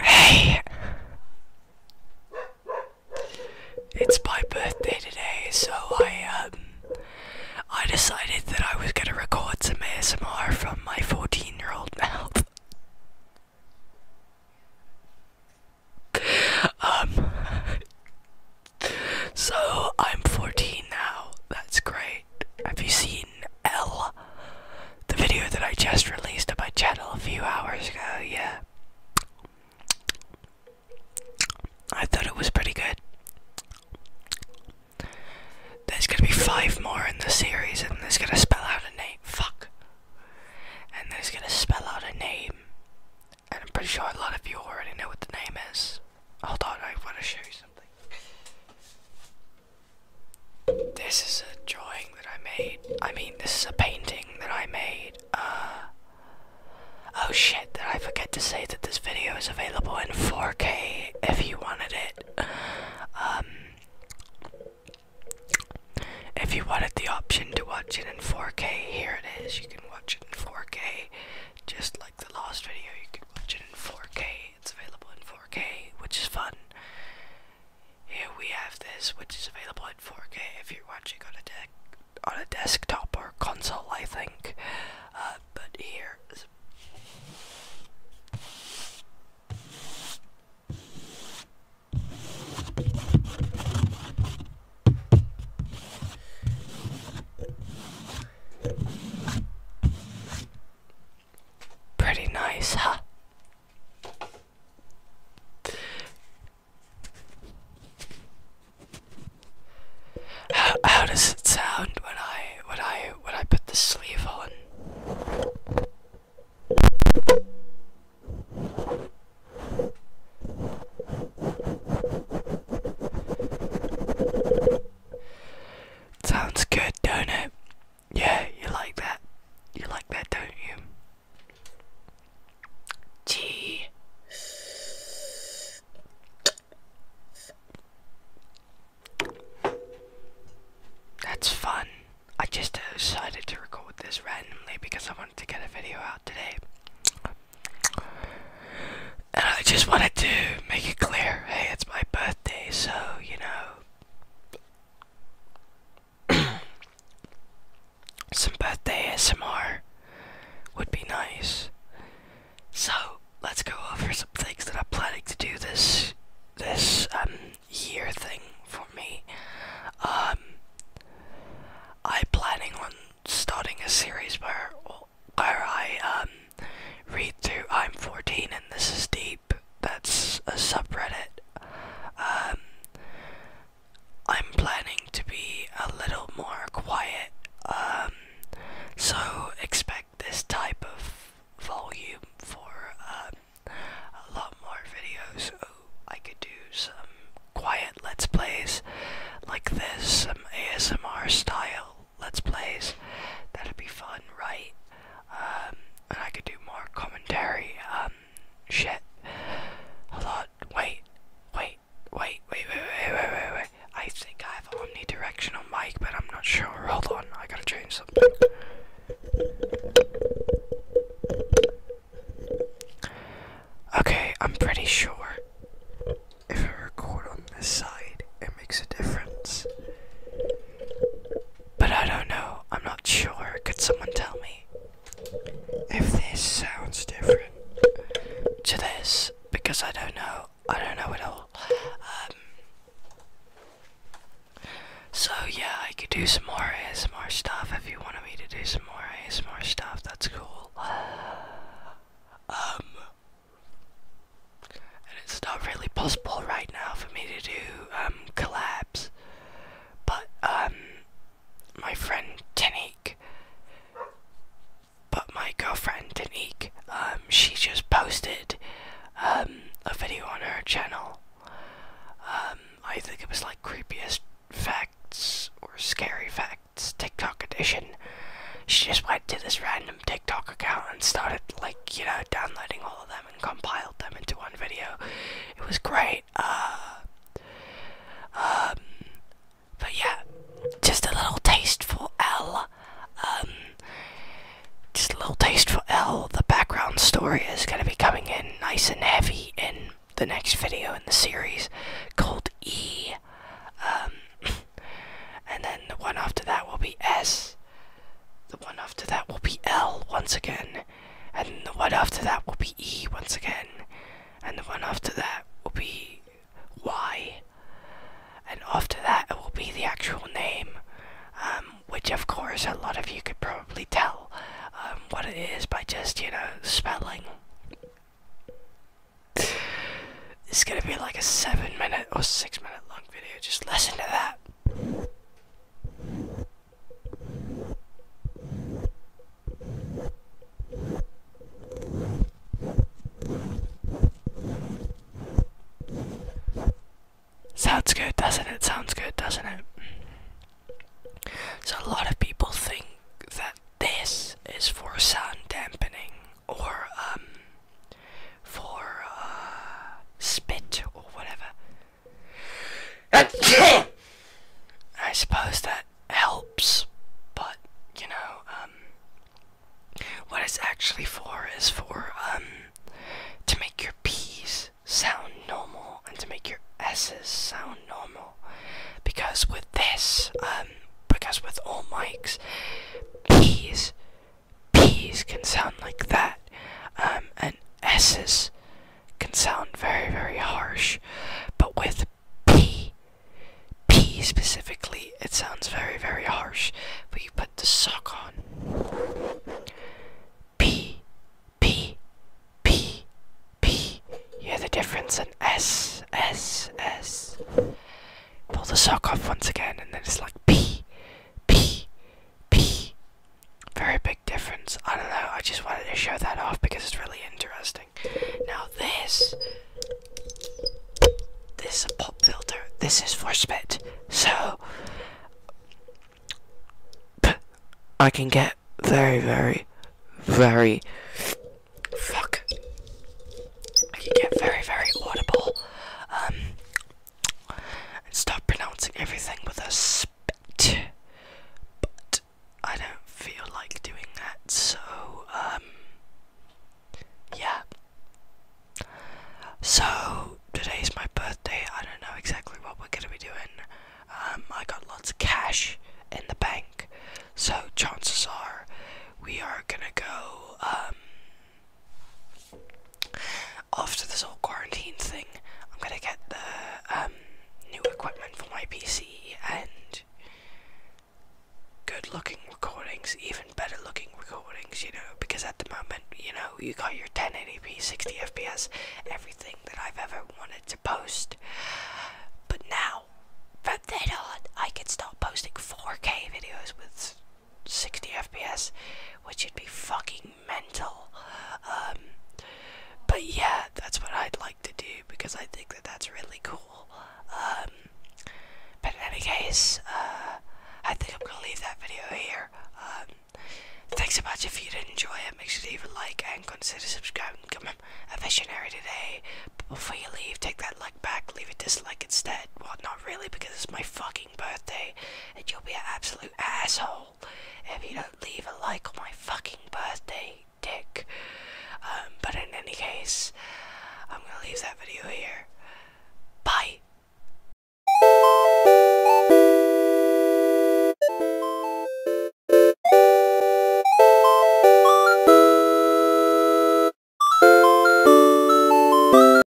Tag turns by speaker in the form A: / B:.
A: Hey! It's my birthday today, so I um I decided that I was gonna record some ASMR from my 14 year old mouth. um So I'm 14 now. That's great. Have you seen L. The video that I just released on my channel a few hours ago, yeah. I thought it was pretty good. There's gonna be five more in the series, and there's gonna spell out a name. Fuck. And there's gonna spell out a name. And I'm pretty sure a lot of you already know what the name is. Hold on, I wanna show you something. This is a drawing that I made. I mean, this is a painting that I made. Uh. Oh shit, did I forget to say that this video is available in 4K if you wanted it? Um. If you wanted the option to watch it in 4K, here it is. You can watch it in 4K. Just like the last video, you can watch it in 4K. It's available in 4K, which is fun. Here we have this, which is available in 4K if you're watching on a deck on a desktop or console, I think. Uh, but here. Is Pretty nice, huh? How does it sound when I when I when I put the sleeve on? Sounds good, don't it? Yeah, you like that. You like that, don't you? G. That's fun. I just decided to record this randomly because I wanted to get a video out today. And I just wanted to make it clear hey, it's my birthday, so, you know, Some birthday ASMR would be nice. So let's go over some things that I'm planning to do this this um, year thing for me. Um, I'm planning on starting a series where where I um, read through I'm 14 and This Is Deep that's a subreddit. Um, I'm planning to be a little more quiet, um, so expect this type of volume for um, a lot more videos. Oh, I could do some quiet let's plays like this, some ASMR style let's plays. That'd be fun, right? Um, and I could do more commentary, um, shit, a lot, wait, wait, wait, wait, wait, wait, wait, wait, wait, I think I have omnidirectional mic, but I'm not sure, hold on, I gotta change something. Okay, I'm pretty sure if I record on this side, it makes a difference. But I don't know. I'm not sure. Could someone tell me if this sounds different to this? Because I don't know. I don't know at all. Um, so yeah, I could do some more ASMR stuff if you wanted me to do some more ASMR stuff. That's cool. Um, and it's not really possible right now for me to do um, collabs. But um, my friend Tanique, but my girlfriend Tanique, um, she just posted um, a video on her channel. I think it was like creepiest facts or scary facts TikTok edition. She just went to this random TikTok account and started like you know downloading all of them and compiled them into one video. It was great. Uh, um, but yeah, just a little taste for L. Um, just a little taste for L. The background story is going to be coming in nice and heavy in the next video in the series called E. Um, and then the one after that will be S. The one after that will be L once again, and the one after that will be E once again, and the one after that will be Y, and after that it will be the actual name, um, which of course a lot of you could probably tell um, what it is by just, you know, spelling. It's gonna be like a 7 minute or 6 minute long video, just listen to that. Sounds good, doesn't it? Sounds good, doesn't it? So, a lot of people think that this is for sound dampening or um, for uh, spit or whatever. I suppose that helps, but you know, um, what it's actually for is for um, to make your P's sound normal and to make your S's sound normal. Because with this, um, because with all mics, P's P's can sound like that, um, and S's can sound very, very harsh. But with P, P specifically, it sounds very, very harsh. But you put the sock on. P, P, P, P. You hear the difference in S, S, S. Pull the sock off once again, and then it's like P, P P very big difference. I don't know, I just wanted to show that off because it's really interesting. Now this this is a pop filter. This is for spit. So I can get very, very, very fuck. I can get very, very audible um, and stop pronouncing everything with a spit. But I don't feel like doing that, so, um, yeah. So, today's my birthday. I don't know exactly what we're gonna be doing. Um, I got lots of cash in the bank, so chances are we are gonna go, um, after this whole quarantine thing, I'm gonna get the um, new equipment for my PC and good looking recordings, even better looking recordings, you know, because at the moment, you know, you got your 1080p, 60fps, everything that I've ever wanted to post. But now, from then on, I can start posting 4K videos with 60 FPS, which would be fucking mental. Um, but yeah, that's what I'd like to do because I think that that's really cool. Um, but in any case, uh, I think I'm gonna leave that video here. Um, thanks so much if you did enjoy it. Make sure to leave a like and consider subscribing. Come a visionary today. But before you leave, take that like back, leave a dislike instead. Well, not really because it's my fucking birthday and you'll be an absolute asshole if you don't leave a like on my fucking birthday, dick. Um, but in any case, I'm gonna leave that video here. Bye!